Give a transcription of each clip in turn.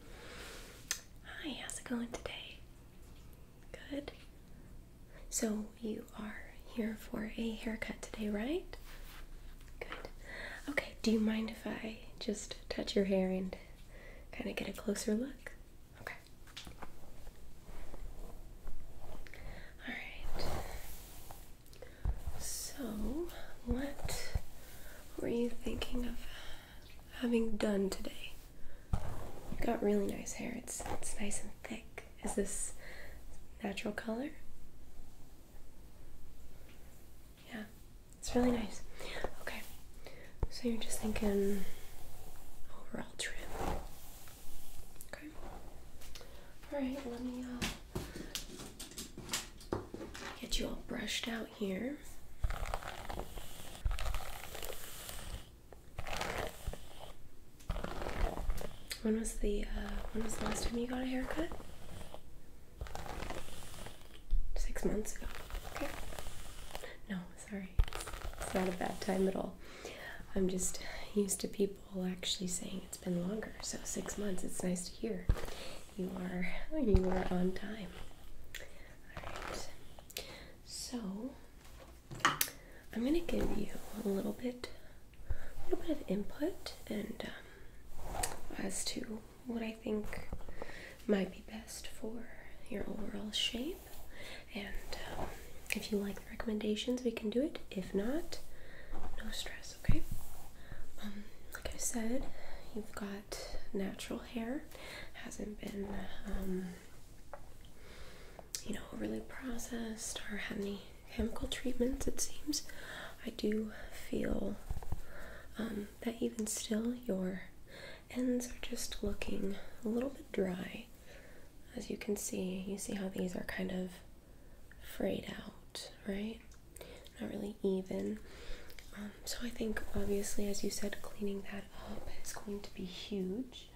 Hi, how's it going today? Good. So, you are here for a haircut today, right? Good. Okay, do you mind if I just touch your hair and kind of get a closer look? Okay. Alright. So, what were you thinking of having done today. You've got really nice hair. It's it's nice and thick. Is this natural color? Yeah, it's really nice. Okay, so you're just thinking overall trim. Okay. All right, let me uh, Get you all brushed out here. When was the uh, when was the last time you got a haircut? Six months ago. Okay. No, sorry. It's not a bad time at all. I'm just used to people actually saying it's been longer. So six months. It's nice to hear you are you are on time. Alright, so I'm gonna give you a little bit, a little bit of input and um, as to what I think might be best for your overall shape. And um, if you like the recommendations, we can do it. If not, no stress. Okay. Um, like I said, you've got natural hair hasn't been, um, you know, overly processed or had any chemical treatments, it seems. I do feel um, that even still, your ends are just looking a little bit dry. As you can see, you see how these are kind of frayed out, right? Not really even so I think obviously, as you said, cleaning that up is going to be huge.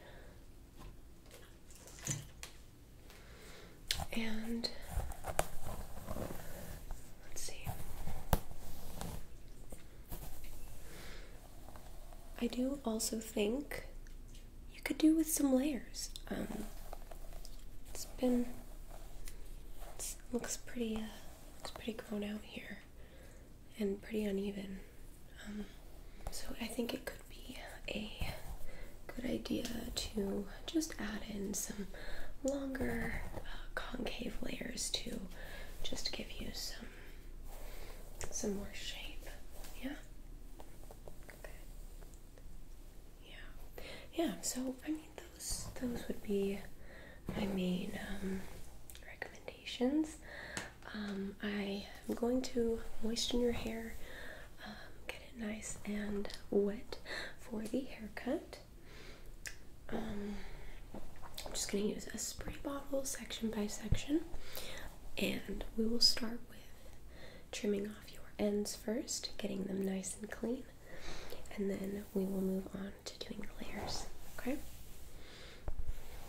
And let's see. I do also think you could do with some layers. Um, it's been looks pretty uh, looks pretty grown out here and pretty uneven. Um, so I think it could be a good idea to just add in some longer uh, concave layers to just give you some some more shape. Yeah. Okay. Yeah. Yeah, so I mean those would be my main um, recommendations. Um, I am going to moisten your hair, um, get it nice and wet for the haircut. I'm just going to use a spray bottle section by section, and we will start with trimming off your ends first, getting them nice and clean, and then we will move on to doing the layers. Okay?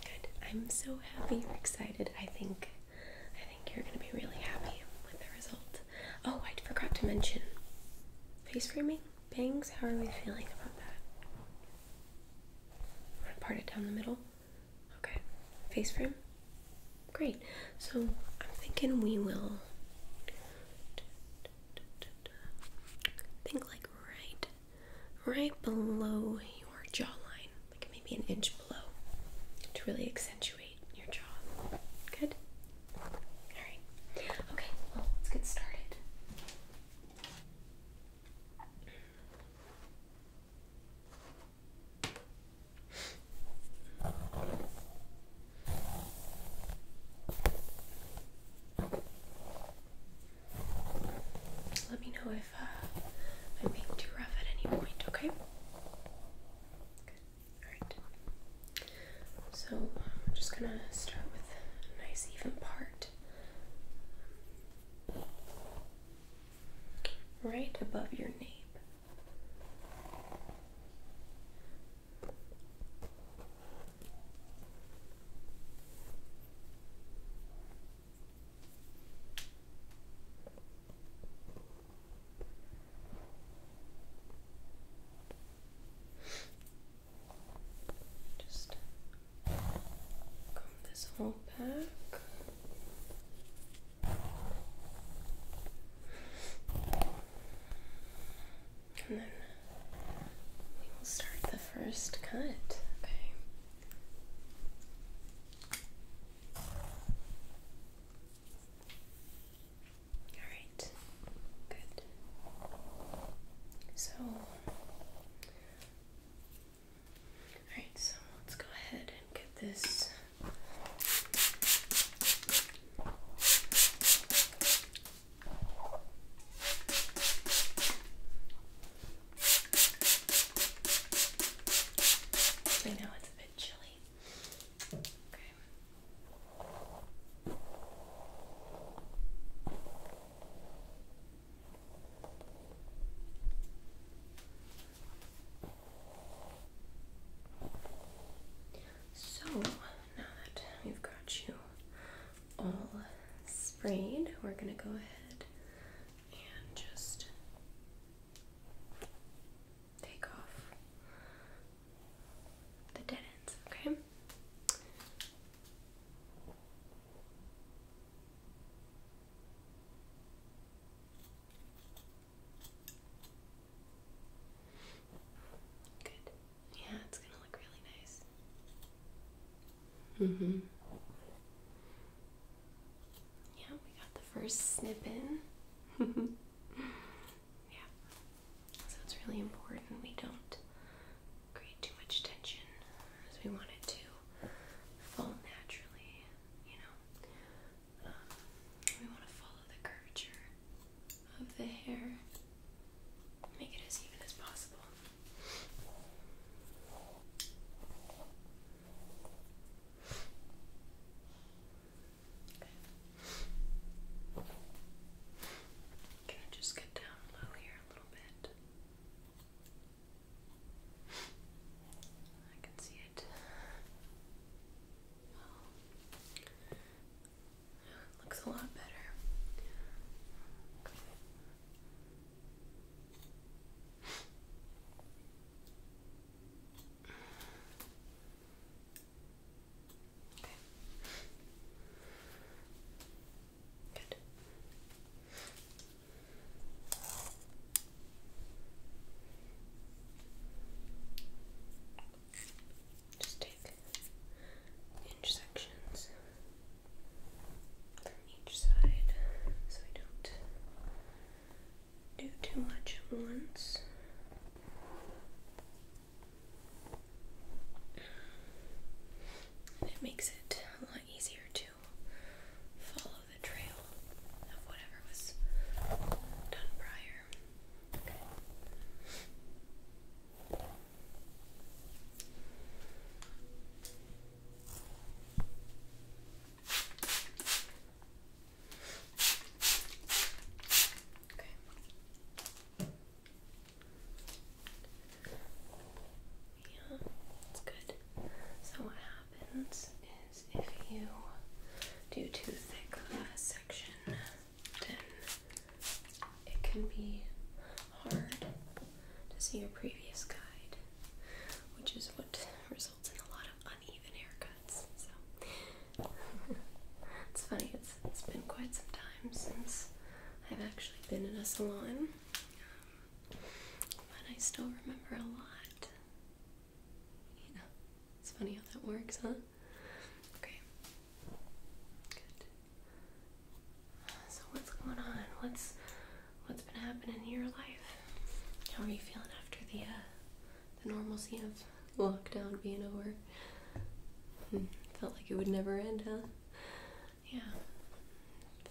Good. I'm so happy you're excited. I think I think you're gonna be really happy with the result. Oh, I forgot to mention face framing, bangs, how are we feeling about that? Wanna part it down the middle? Okay. Face frame? Great. So I'm thinking we will think like right right below your jawline, like maybe an inch below to really accentuate your jaw. Good? Alright. Okay, well let's get started. Let me know if uh, I'm being too rough at any point, okay? Alright. So I'm just gonna start with a nice even part. Right above your name. Just comb this whole back. And then we will start the first cut. Okay. All right. Good. So, all right. So let's go ahead and get this I know it's a bit chilly. Okay. So now that we've got you all sprayed, we're going to go ahead and just take off the dead ends, okay? Good. Yeah, it's gonna look really nice. Mm hmm. Yeah, we got the first snip in. yeah. So it's really important we don't create too much tension as we want it to fall naturally, you know. Um, we want to follow the curvature of the hair, make it as even as possible. Can I just get down low here a little bit? I can see it. Looks a lot better. Okay. Good. Just inch sections from each side so I don't do too much at once. it makes it a lot easier to follow the trail of whatever was done prior. Yeah, that's good. So what happens is if you do too thick of a section, then it can be hard to see your previous guide, which is what results in a lot of uneven haircuts. So it's funny, it's been quite some time since I've actually been in a salon, um, but I still remember a lot. it's funny how that works, huh? Okay, so what's going on? What's what's been happening in your life? How are you feeling after the uh, the normalcy of lockdown being over? Hmm, felt like it would never end, huh? Yeah.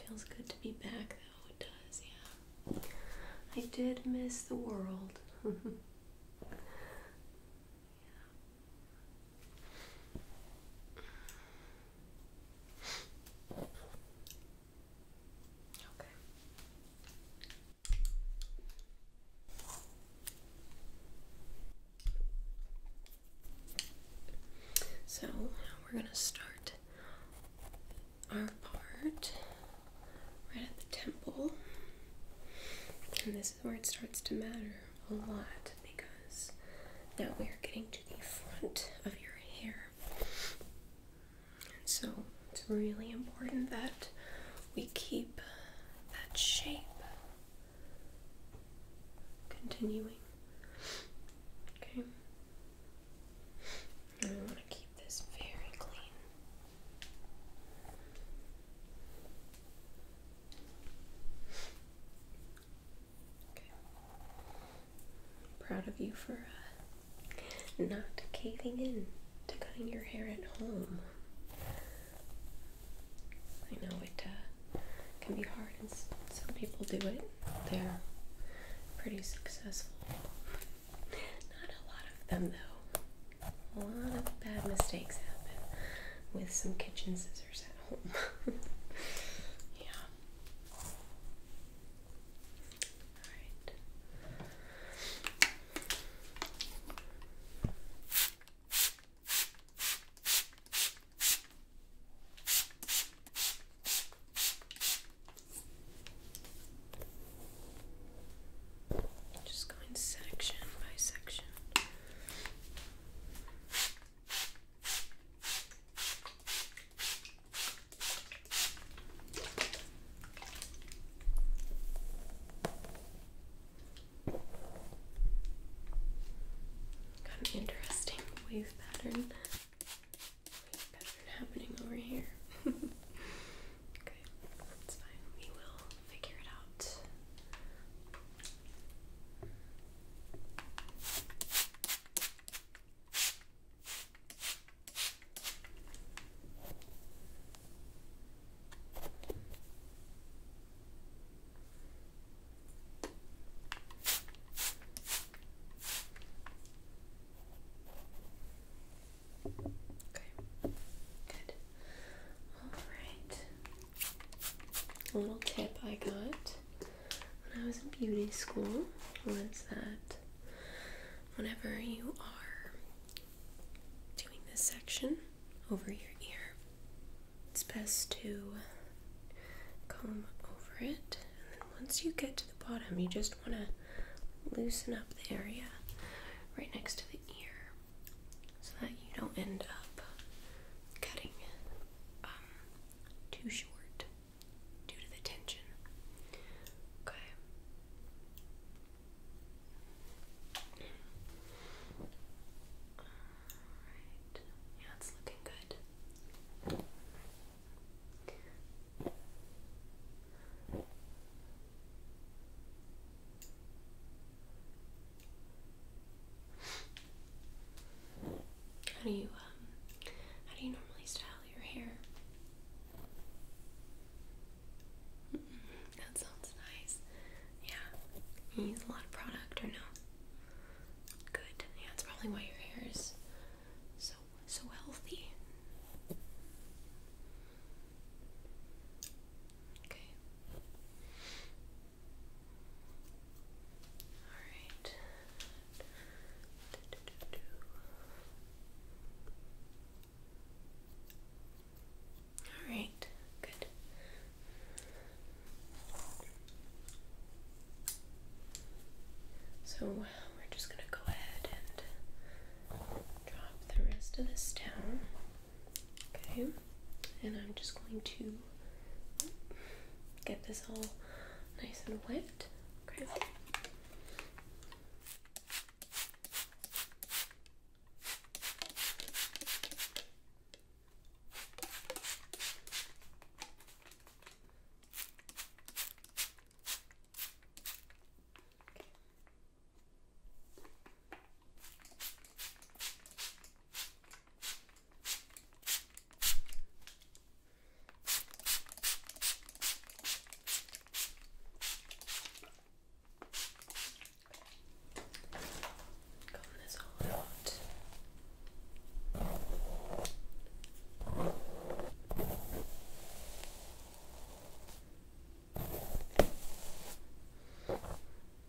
Feels good to be back though, it does, yeah. I did miss the world. So we're going to start our part right at the temple. And this is where it starts to matter a lot because now we are getting to the front of your hair. And so it's really important that we keep that shape continuing. Okay. And we want to keep this very clean. I'm proud of you for uh, not caving in to cutting your hair at home. I know it uh, can be hard, and some people do it. They're pretty successful. Not a lot of them, though. A lot of bad mistakes happen with some kitchen scissors scissors at home. Just going section by section. Got an interesting wave pattern. happening over here. okay, that's fine. We will figure it out. Okay, good. All right. little tip I got when I was in beauty school was that whenever you are doing this section over your ear, it's best to comb over it. And then once you get to the bottom, you just want to loosen up the area right next to the ear so that you don't end up cutting it. Um, too short due to the tension. Okay. Alright. Yeah, it's looking good. How do you um how do you normally style your hair? that sounds nice. Yeah. You use a lot of product or no? Good. Yeah, that's probably why your hair is so so healthy. Okay. Alright. Alright, good. So we're just going to go ahead and drop the rest of this down. Okay, and I'm just going to get this all nice and wet. Okay. Comb this all out.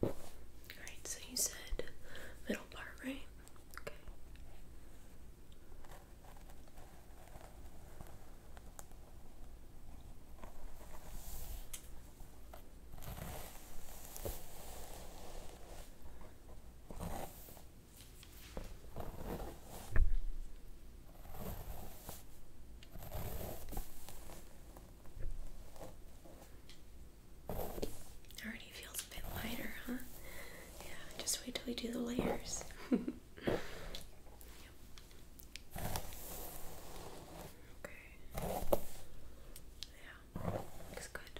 Alright, so you said middle part, right? Okay. Already feels a bit lighter, huh? Yeah, just wait till we do the layers. Okay. Yeah, looks good.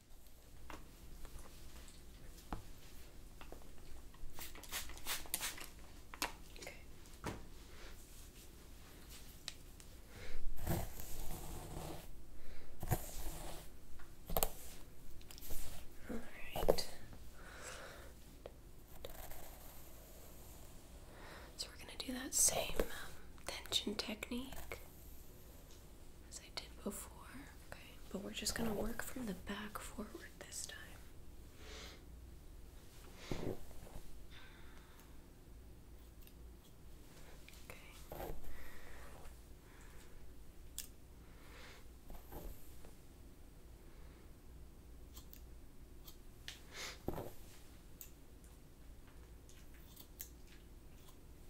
So we're going to do that same um, tension technique as I did before. Okay, but we're just gonna work from the back forward this time. Okay.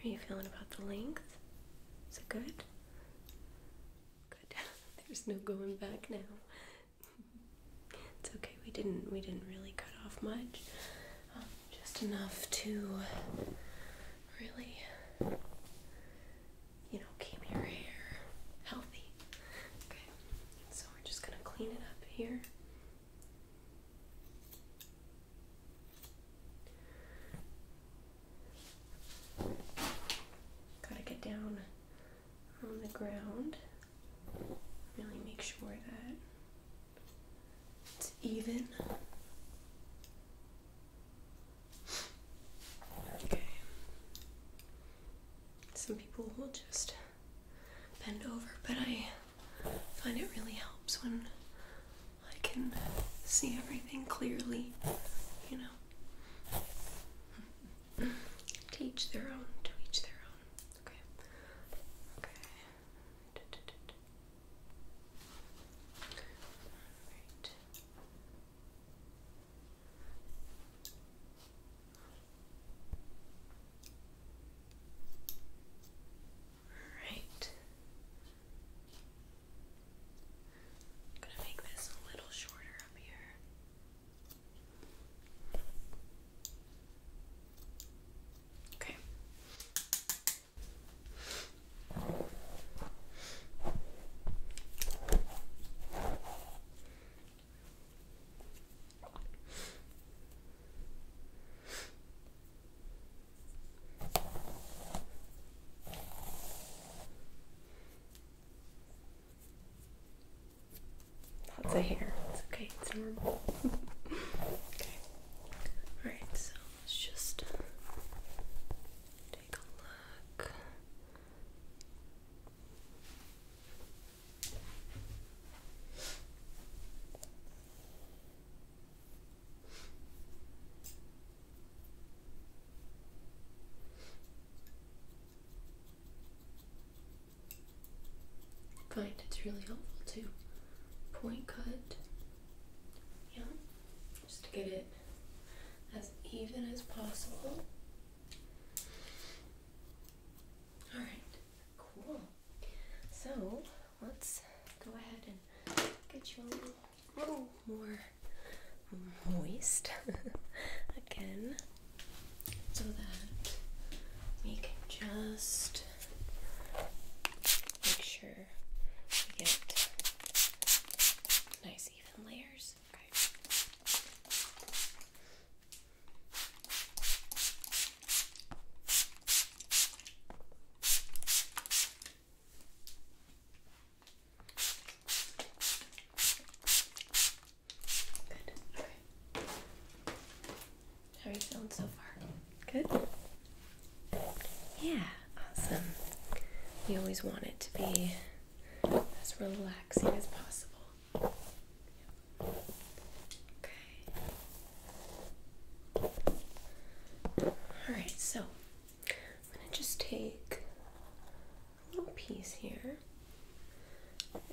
How are you feeling about the length? Is it good? Good. There's no going back now. it's okay. We didn't. We didn't really cut off much. Um, just enough to really you know, came your hair healthy. Okay, so we're just gonna clean it up here. Gotta get down on the ground. Really make sure that it's even. Okay. Some people will just bend over, but I find it really helps when I can see everything clearly, you know. to their own, Teach their own. Okay. Okay. D all right. I'm going to make this a little shorter up here. Okay. Lots of hair. It's okay, it's normal. okay. Alright, so let's just find it's really helpful to point cut, yeah, just to get it as even as possible. Alright, cool. So let's go ahead and get you a little, little more moist again so that we can just make sure we get nice even layers. Good. Okay. How are you feeling so far? Good? Yeah awesome. You always want it to be as relaxing as possible. Okay. Alright, so I'm going to just take a little piece here.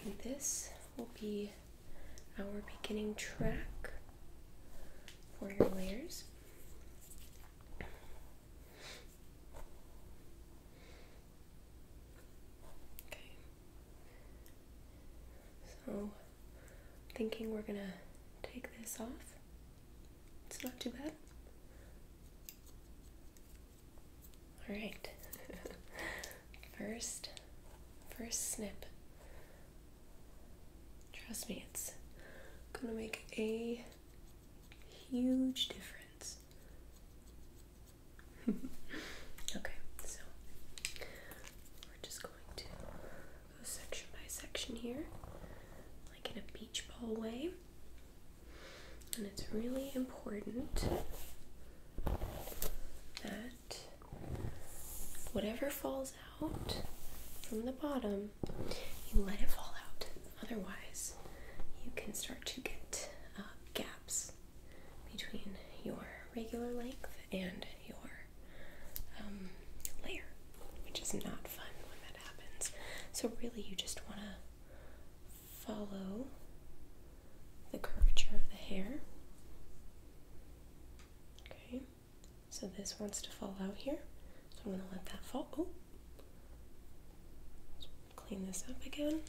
And this will be our beginning track for your layers. So, thinking we're gonna take this off. It's not too bad. All right. first, first snip. Trust me, it's gonna make a Huge difference. okay, so we're just going to go section by section here, like in a beach ball way. And it's really important that whatever falls out from the bottom you let it fall out. Otherwise, you can start to get uh, gaps between your regular length and your um, layer, which is not fun when that happens. So, really, you just want to follow the curvature of the hair. Okay, so this wants to fall out here. So I'm gonna let that fall. Oh. clean this up again.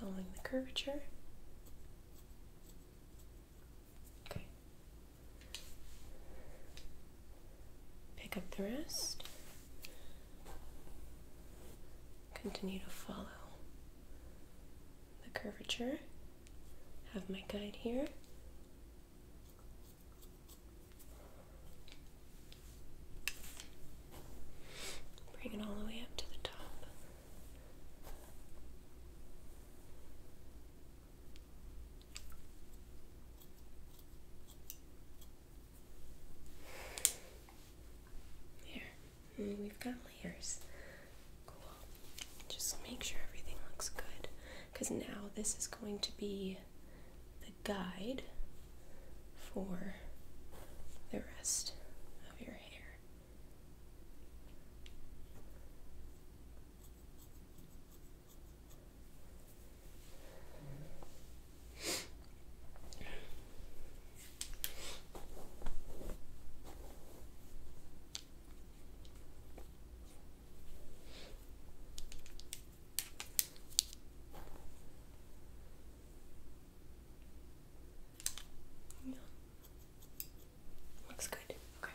Following the curvature. Okay. Pick up the rest. Continue to follow the curvature. Have my guide here. Bring it all the way up to the top. Here, we've got layers. Cool. Just make sure everything looks good because now this is going to be the guide for the rest of your hair. Looks good. Okay.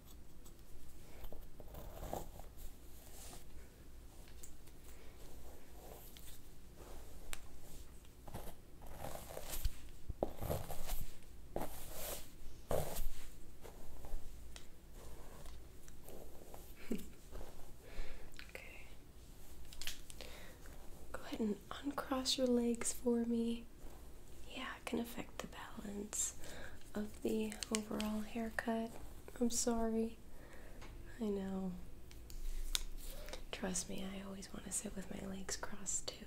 okay. Go ahead and uncross your legs for me. Yeah, it can affect the balance of the overall haircut. I'm sorry. I know. Trust me, I always want to sit with my legs crossed too.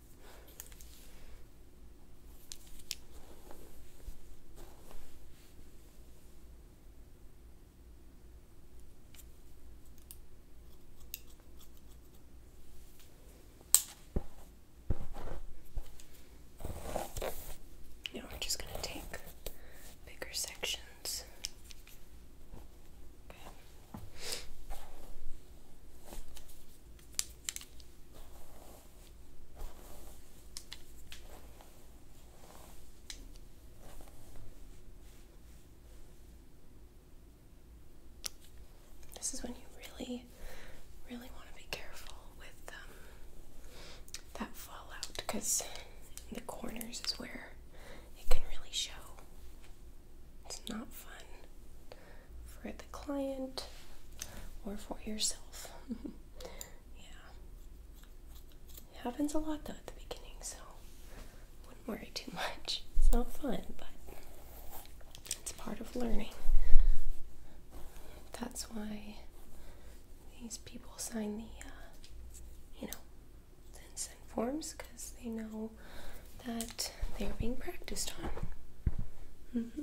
Now we're just going to take bigger sections. This is when you really, really want to be careful with um, that fallout because the corners is where it can really show. It's not fun for the client or for yourself. yeah. happens a lot though at the beginning, so wouldn't worry too much. It's not fun, but it's part of learning. That's why these people sign the, uh, you know, consent forms because they know that they are being practiced on. Mm-hmm.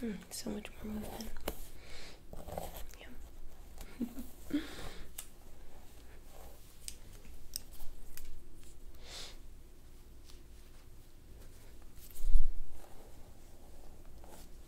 Hmm, so much more movement. Yeah.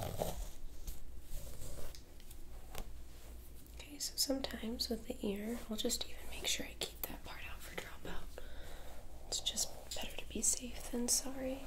Okay, so sometimes with the ear, I'll just even make sure I keep that part out for dropout. It's just better to be safe than sorry.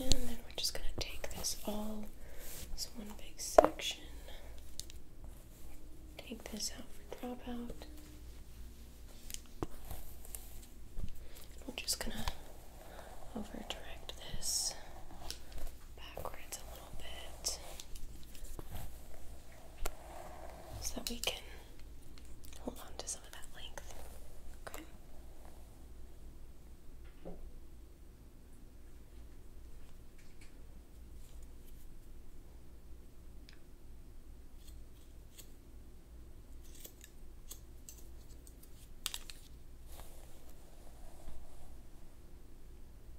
And then we're just going to take this all as one big section. Take this out for dropout. We're just going to over direct this backwards a so that we can hold on to some of that length.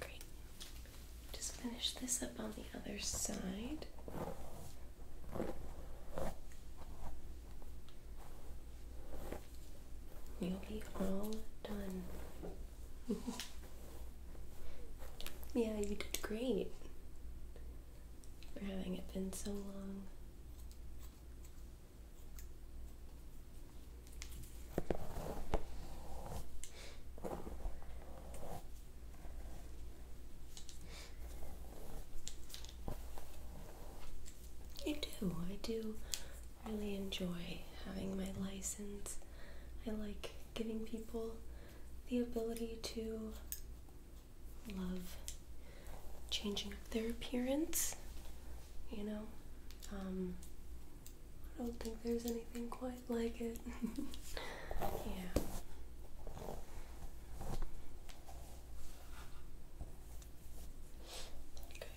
Great. Just finish this up on the other side. You'll be all done. yeah, you did great for having it been so long. I do. I do really enjoy having my license. I like giving people the ability to love changing up their appearance. You know, um, I don't think there's anything quite like it. yeah. Okay.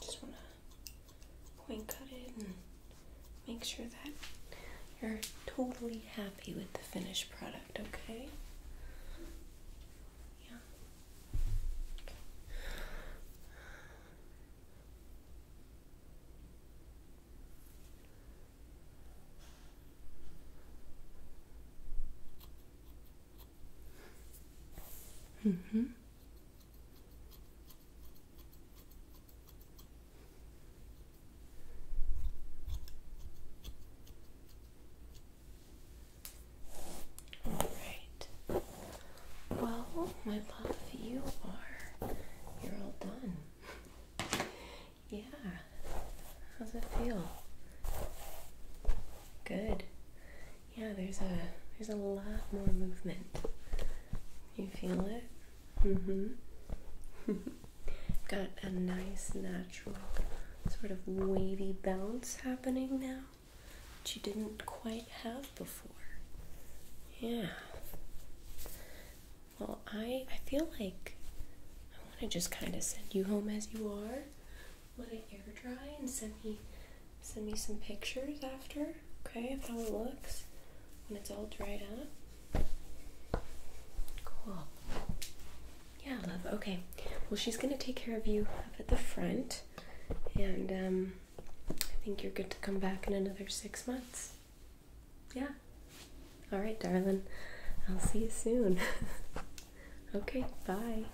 Just want to point cut it and make sure that you're totally happy with the finished product, okay? Yeah. Okay. mm mm-hmm. All right. Well, my love, you are you're all done. Yeah. How's it feel? Good yeah, there's a there's a lot more movement. You feel it? Mm-hmm. Got a nice natural sort of wavy bounce happening now that you didn't quite have before. Yeah. Well, I I feel like I want to just kind of send you home as you are. Let it air dry and send me send me some pictures after, okay, of how it looks when it's all dried up. Cool. Yeah, love. Okay. Well, she's gonna take care of you up at the front, and um, I think you're good to come back in another six months. Yeah. All right, darling. I'll see you soon. okay. Bye.